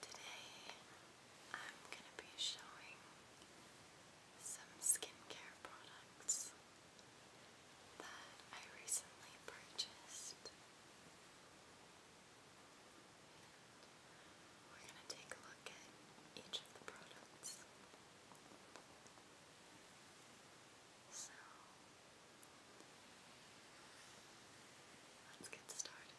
Today I'm going to be showing some skincare products that I recently purchased. We're going to take a look at each of the products. So, let's get started.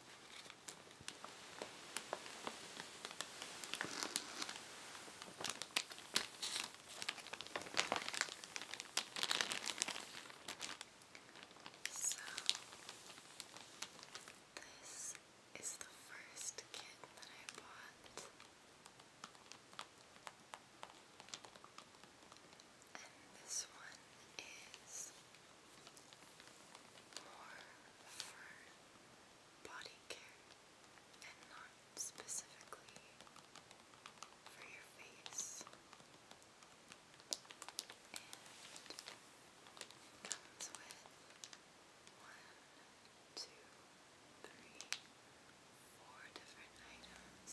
So, this is the first kit that I bought, and this one is more fur body care and not specifically for your face. And comes with one, two, three, four different items.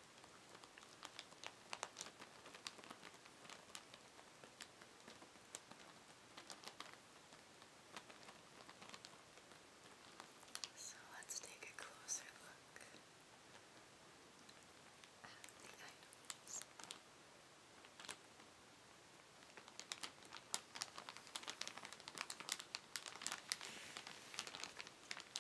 So let's take a closer look at the items.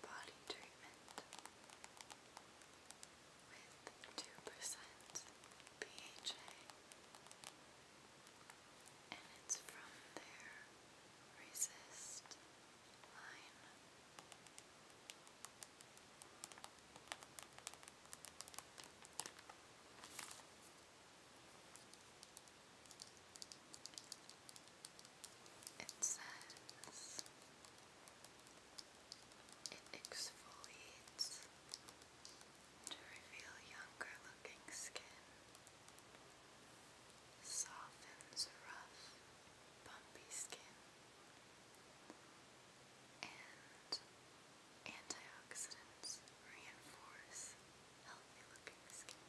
body treatment with 2% PHA and it's from their Resist line. It says it exfoliates to reveal younger looking skin, softens rough, bumpy skin, and antioxidants reinforce healthy looking skin.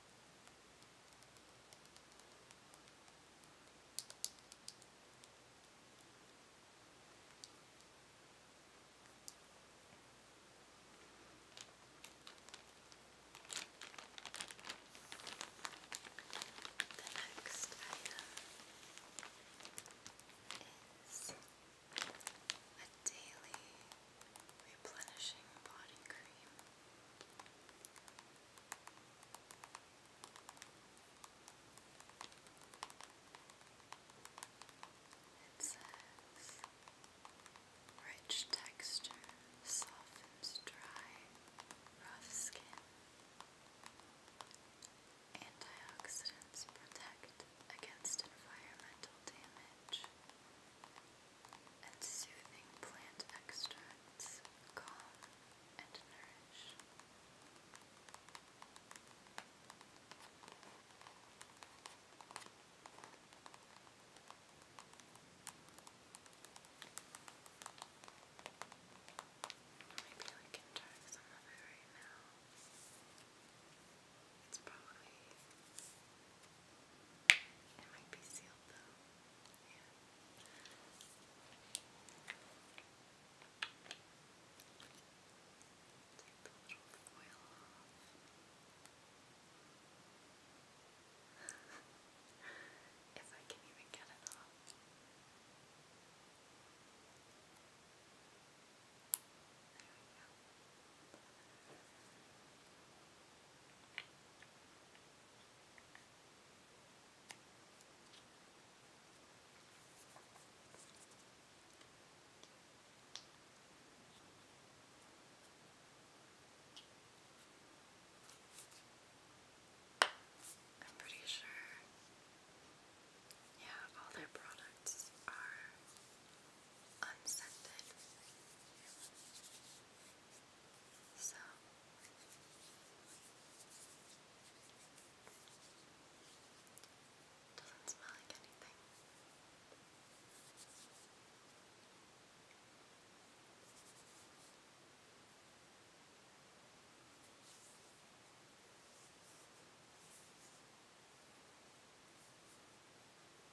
The next item is a daily Replenishing body cream. It says rich texture softens dry, rough skin. Antioxidants protect against environmental damage and soothing plant extracts calm and nourish. Maybe I can try some of it right now. It's probably it might be sealed though. Yeah. if I can even get it off. There we go. I'm pretty sure, yeah, all their products are unscented. So doesn't smell like anything.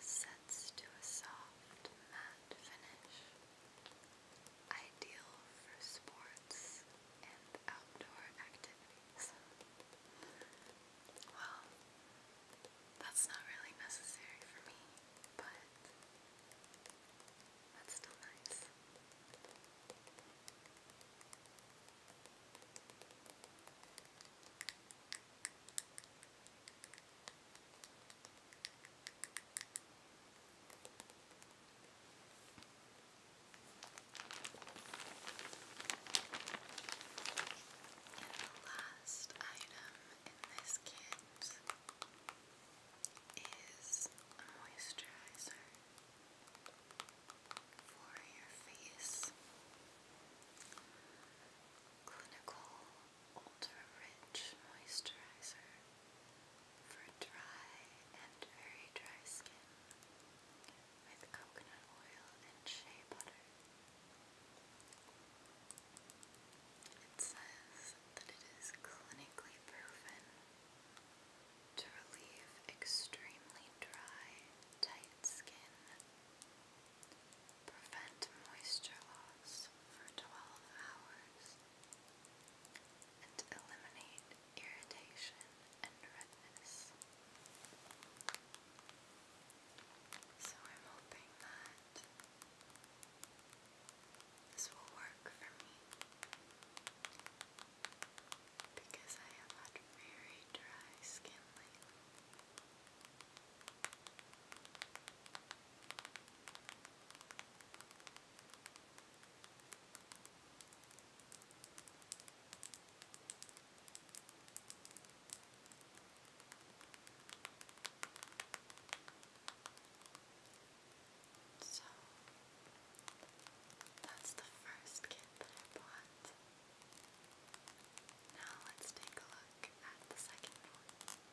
sets to a soft matte finish, ideal for sports and outdoor activities. Well, that's not really necessary for me, but that's still nice. And the last item in this kit is a moisturizer for your face. Clinical ultra-rich moisturizer for dry and very dry skin with coconut oil and shea butter. It says that it is clinically proven to relieve extremely dry, tight skin Prevent moisture loss for 12 hours and eliminate irritation and redness. So I'm hoping that this will work for me because I have very dry skin so that's the first kit that I bought. Now let's take a look at the second one.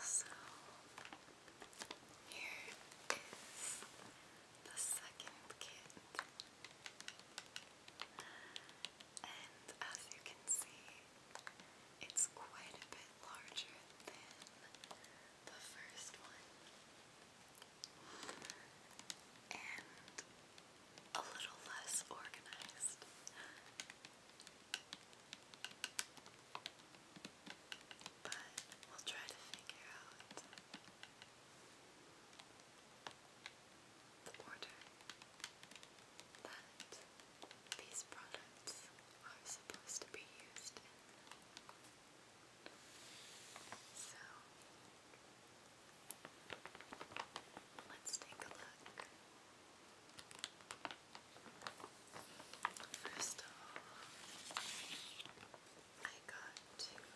So here is the second kit, and as you can see, it's quite a bit larger than the first one, and a little less organized. But we'll try to figure out the order that these products are supposed to be used So let's take a look. First of all, I got two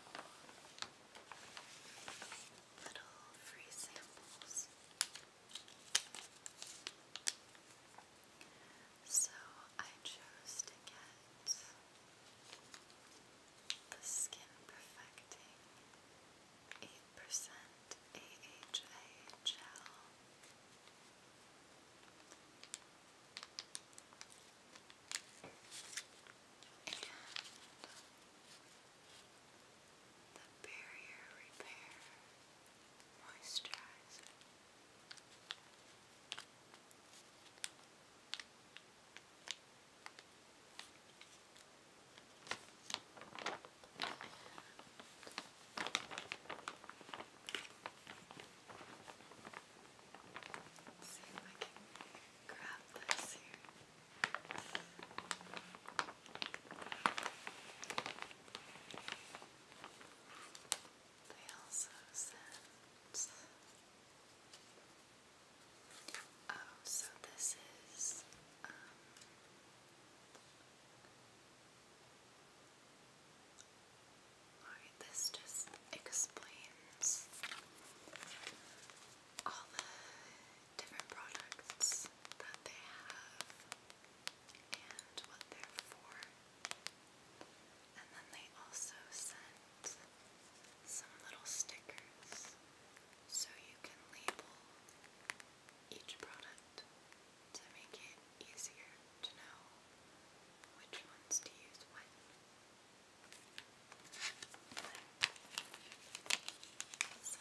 little free samples. So I chose to get the Skin Perfecting 8% AHA Gel. the barrier repair moisturizer. see if I can grab this here. They also sent. Oh, so this is. Um, Alright, this just explains all the different products that they have and what they're for. And then they also sent some little stickers so you can label each product to make it easier to know which ones to use when. So,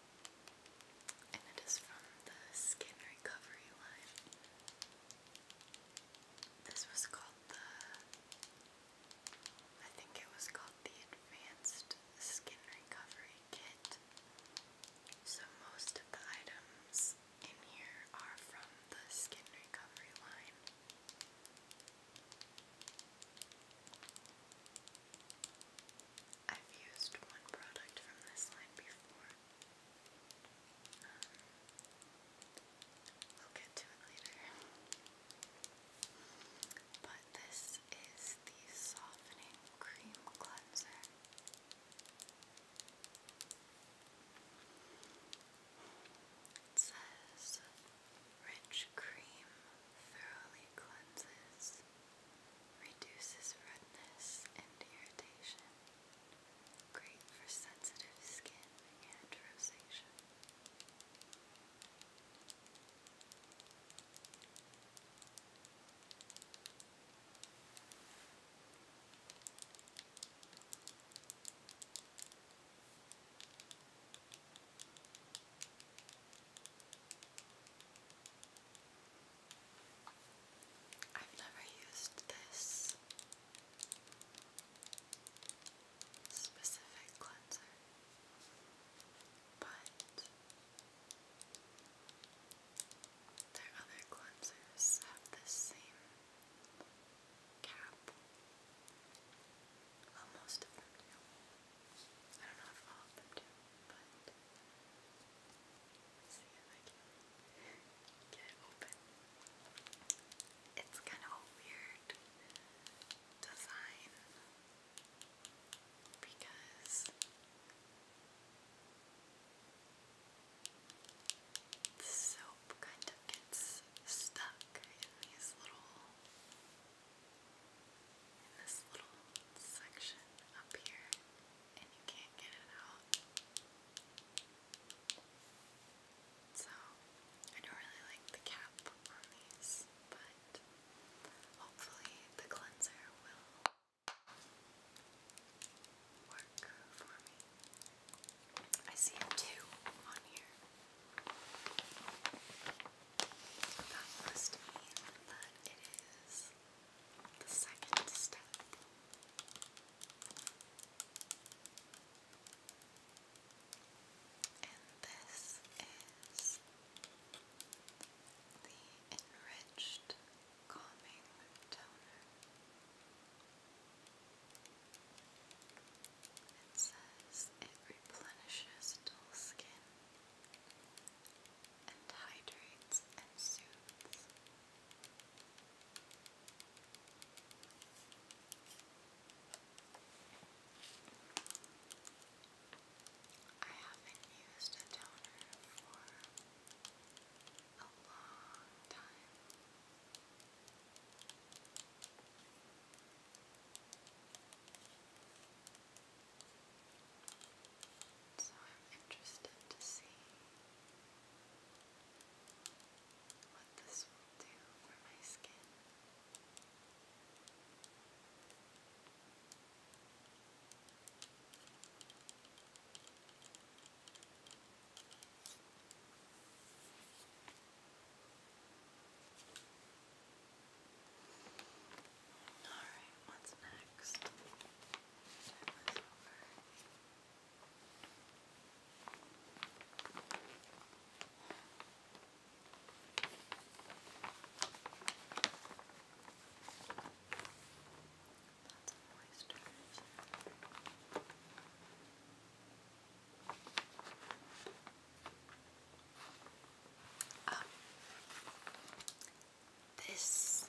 and it is from the Skin Recovery line. This was called the, I think it was called the Advanced Skin Recovery Kit. So most of the items in here are from the Skin Recovery line. I've used one product from this line before. Um, we'll get to it later. But this is the Softening Cream Cleanser. It says, rich cream thoroughly cleanses Reduces redness and irritation. Great for sensitive skin and rosacea. I've never used this specific cleanser, but their other cleansers have the same cap. Well, most of I do It's kind of a weird design because the soap kind of gets stuck in these little in this little section up here, and you can't get it out. So, I don't really like the cap on these, but hopefully the cleanser will work for me. I see two on here. That must mean that it is the second step. And this is the enriched calming toner. It says it replenishes dull skin and hydrates and soothes. I haven't used a toner for a long time. So I'm interested to see what this will do for my skin. I Alright, what's next? That's a moisturizer. Um, this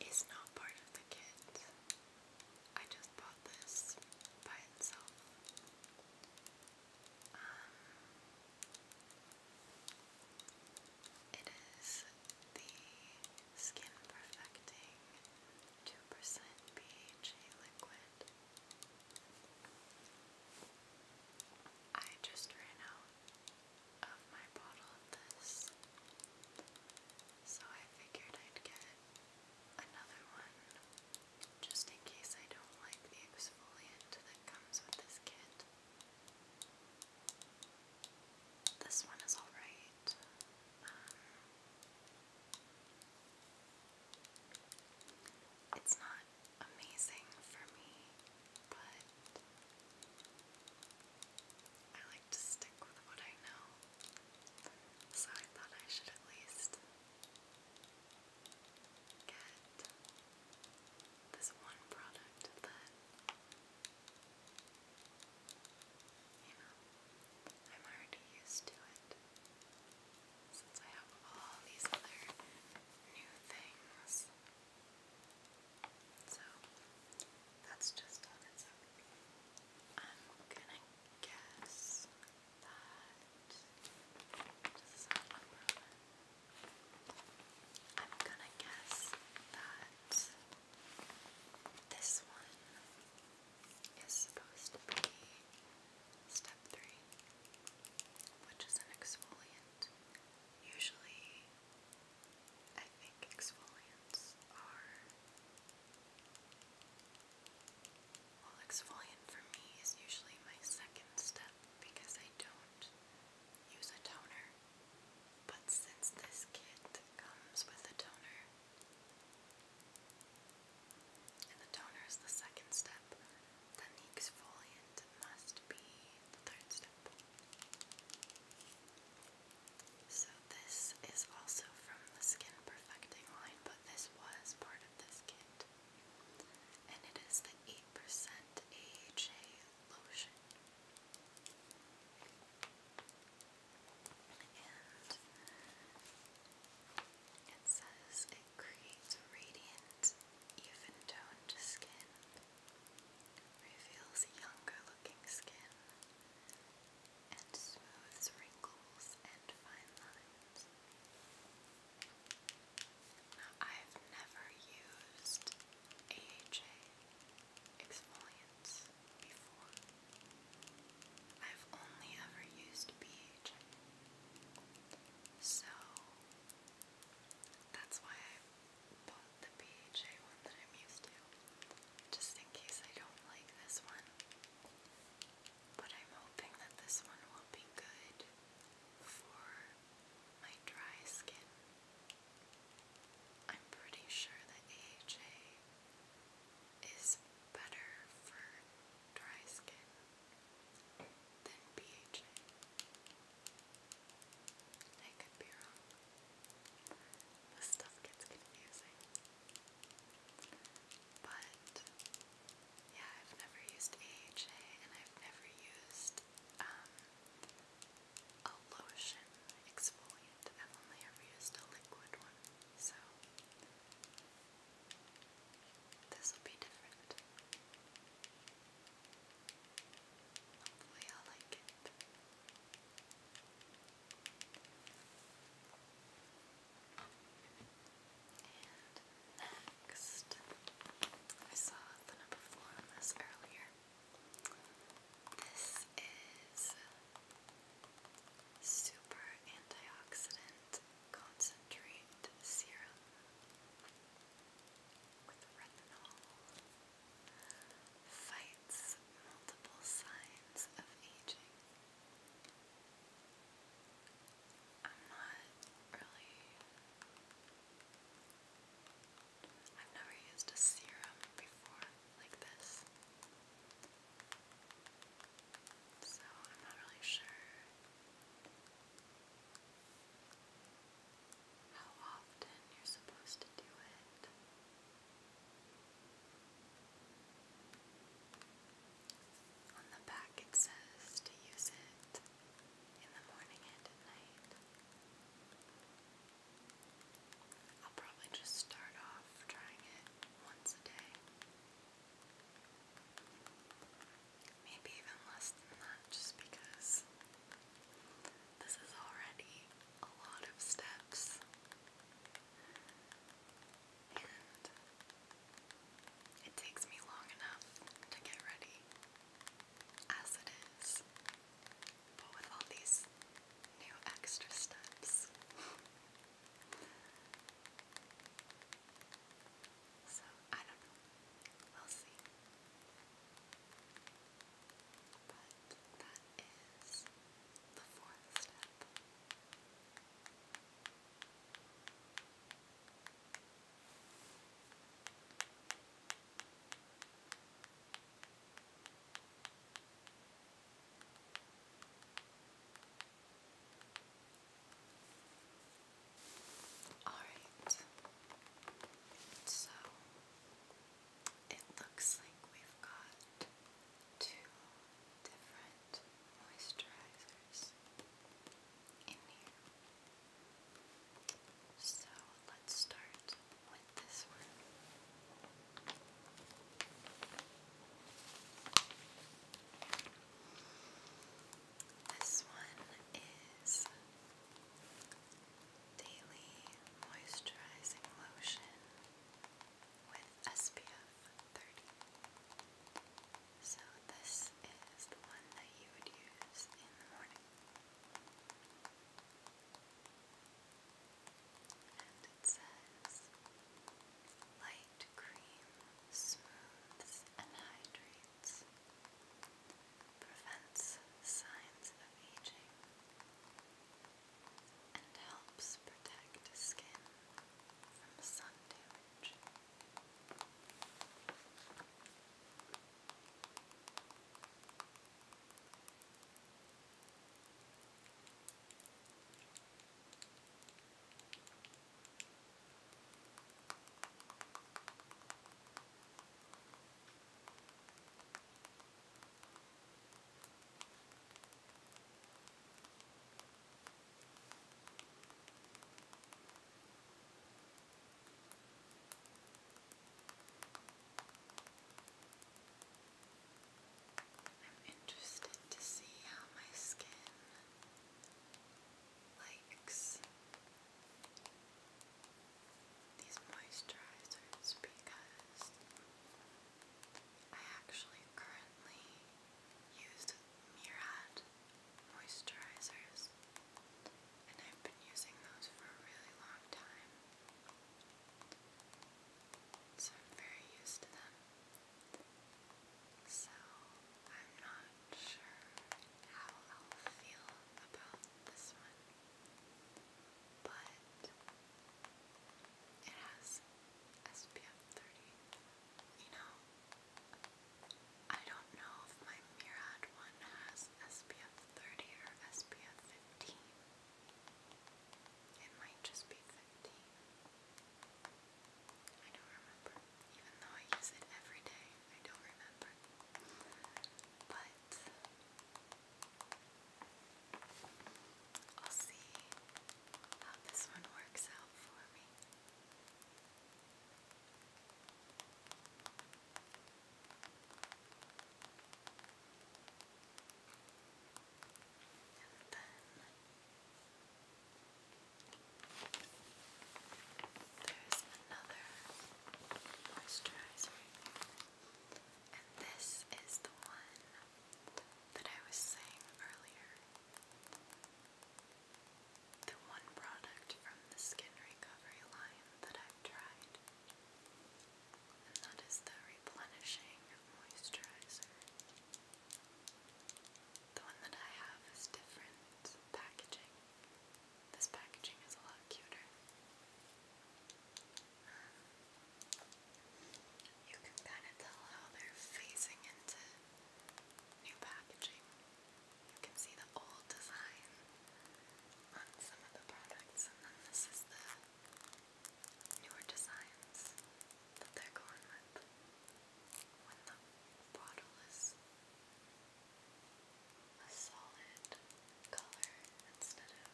is not part of the kit. I just bought this by itself. Um, it is the Skin Perfecting 2% BHA liquid. I just ran out of my bottle of this. So I figured I'd get another one just in case I don't like the exfoliant that comes with this kit. This one is alright. Um, it's not amazing for me, but I like to stick with what I know. So I thought I should at least get this one product that, you know, I'm already used to it. Since I have all these other new things so that's just on its own. I'm gonna guess that this one is supposed to be step three, which is an exfoliant. Usually, I think exfoliants are. Well, exfoliant for me is usually my second step because I don't use a toner. But since this kit comes with a toner, and the toner is the second step, then the exfoliant must be the third step. So this is also from the Skin Perfecting line, but this was part of this kit. And it is the 8% AHA lotion. And it says it creates radiant even-toned skin reveals younger-looking skin and smooths wrinkles and fine lines. I've never used AHA exfoliants before. I've only ever used BHA. So, that's why I bought the BHA one that I'm used to, just in case I don't like this one. But I'm hoping that this one will be good for my dry skin. I'm pretty sure that AHA is better for dry skin than BHA. I could be stuff gets confusing. But yeah, I've never used AHA and I've never used um, a lotion exfoliant. I've only ever used a liquid one. So this will be different. Hopefully i next, I saw the number four on this earlier. This is Super Antioxidant Concentrate Serum with retinol fights multiple signs of aging. I'm not really. I've never used a serum before like this. So I'm not really sure how often you're supposed to do it. On the back it says to use it in the morning and at night. I'll probably just start off trying it once a day. Maybe even less than that, just because this is already a lot of steps. And it takes me long enough to get ready as it is. But with all these new extra steps, so, I don't know. We'll see. But that is the fourth Alright, so it looks like we've got two different moisturizers in here. So let's start with this one. This one is Daily Moisturizing Lotion with SPF 30. So, this is the one that you would use in the morning. And it says light cream smooths and hydrates results, prevents signs of aging, and helps protect skin from sun damage. I'm interested to see how my skin likes these moisturizers because I actually currently use Murad moisturizers and I've been using those for a really long time. So I'm very used to them. So I'm not sure how I'll feel about this one, but it has SPF 30. You know, I don't know if my Murad one has SPF 30 or SPF 15. It might just be 15. I don't remember even though I use it every day, I don't remember. But I'll see how this one works out for me. There's another moisturizer. And this is the one that I was saying earlier. The one product from the Skin Recovery line that I've tried. And that is the Replenishing Moisturizer. The one that I have is different packaging. This packaging is a lot cuter. You can kind of tell how they're phasing into new packaging. You can see the old design on some of the products, and then this is the newer designs that they're going with when the bottle is a solid color instead of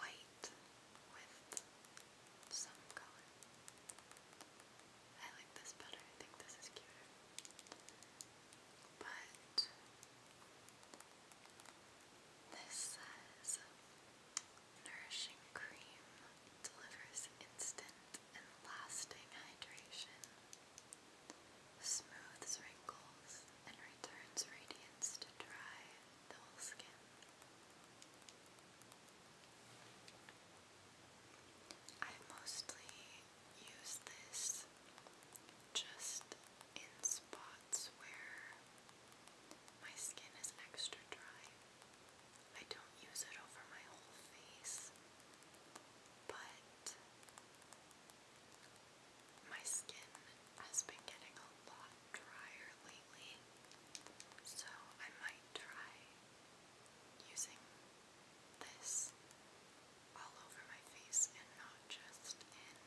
white with some color. I like this better, I think this is cuter. But this says nourishing cream delivers instant lasting hydration, smooths wrinkles, and returns radiance to dry, dull skin. I mostly use this just in spots where my skin is extra dry. I don't use it over my whole face but my skin has been getting a lot drier lately, so I might try using this all over my face and not just in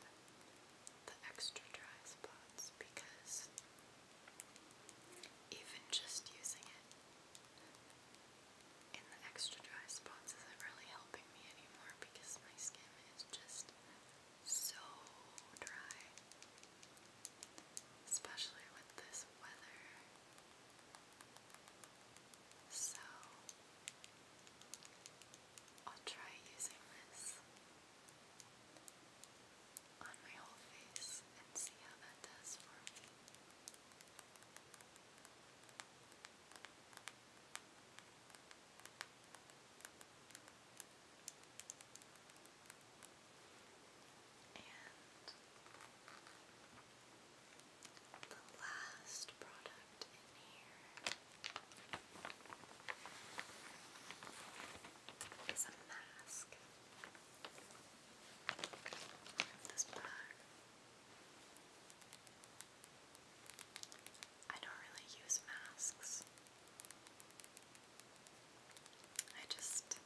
the extra dry spots because even just using it in the extra dry spots isn't really helping me anymore because my skin is just so dry. Especially with this weather. So, I'll try using this on my whole face and see how that does for me. And the last product in here is a mask. This bag I don't really use masks. I just,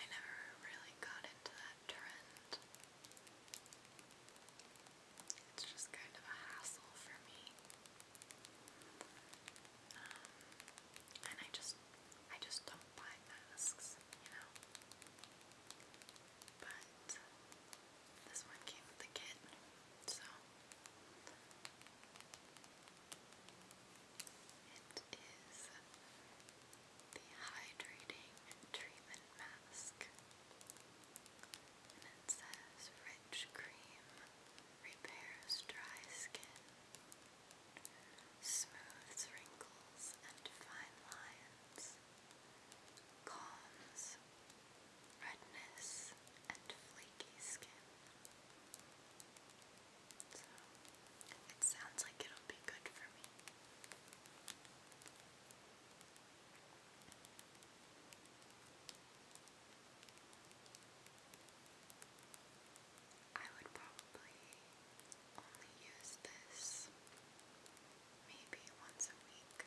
I never really got into that trend. It's just kind of a hassle for me. Um, and I just, I just don't buy masks, you know. But this one came with the kit, so it is the hydrating treatment mask. And it says rich cream repairs dry skin smooths wrinkles and fine lines, calms redness and flaky skin. So, it sounds like it'll be good for me. I would probably only use this maybe once a week. I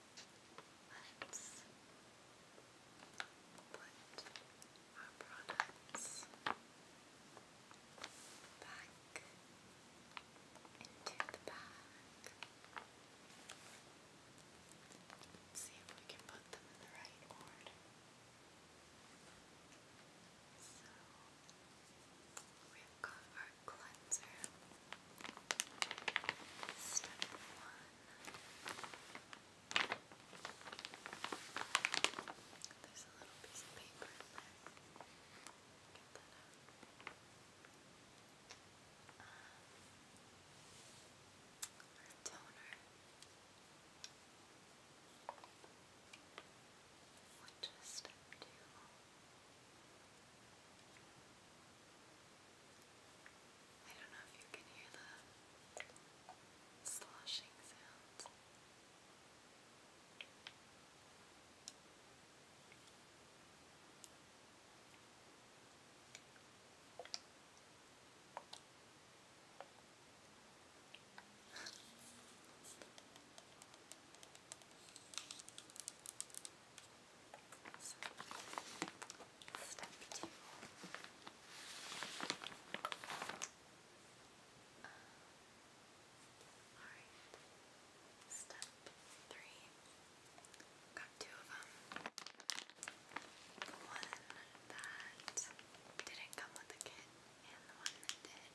let's put our products back into the bag. see if we can put them in the right order. So, we've got our cleanser. Step one. There's a little piece of paper in there. Get that out. I don't know if you can hear the sloshing sounds. So, step two. Alright. Step three. Got two of them. one that didn't come with the kit and the one that did.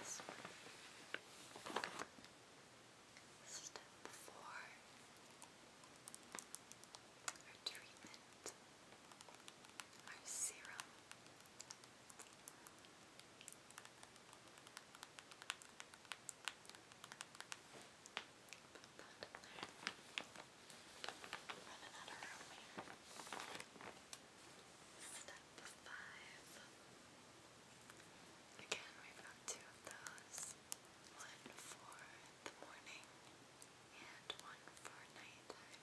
This one. Step four. Our treatment. Our serum. Put that there. Running out room here. Step five. Again, we've got two of those. One for the morning and one for nighttime.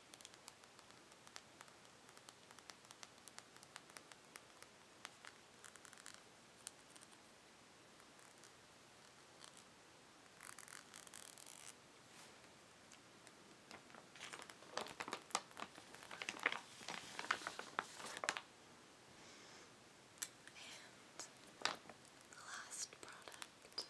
And the last product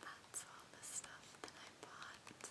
That's all the stuff that I bought.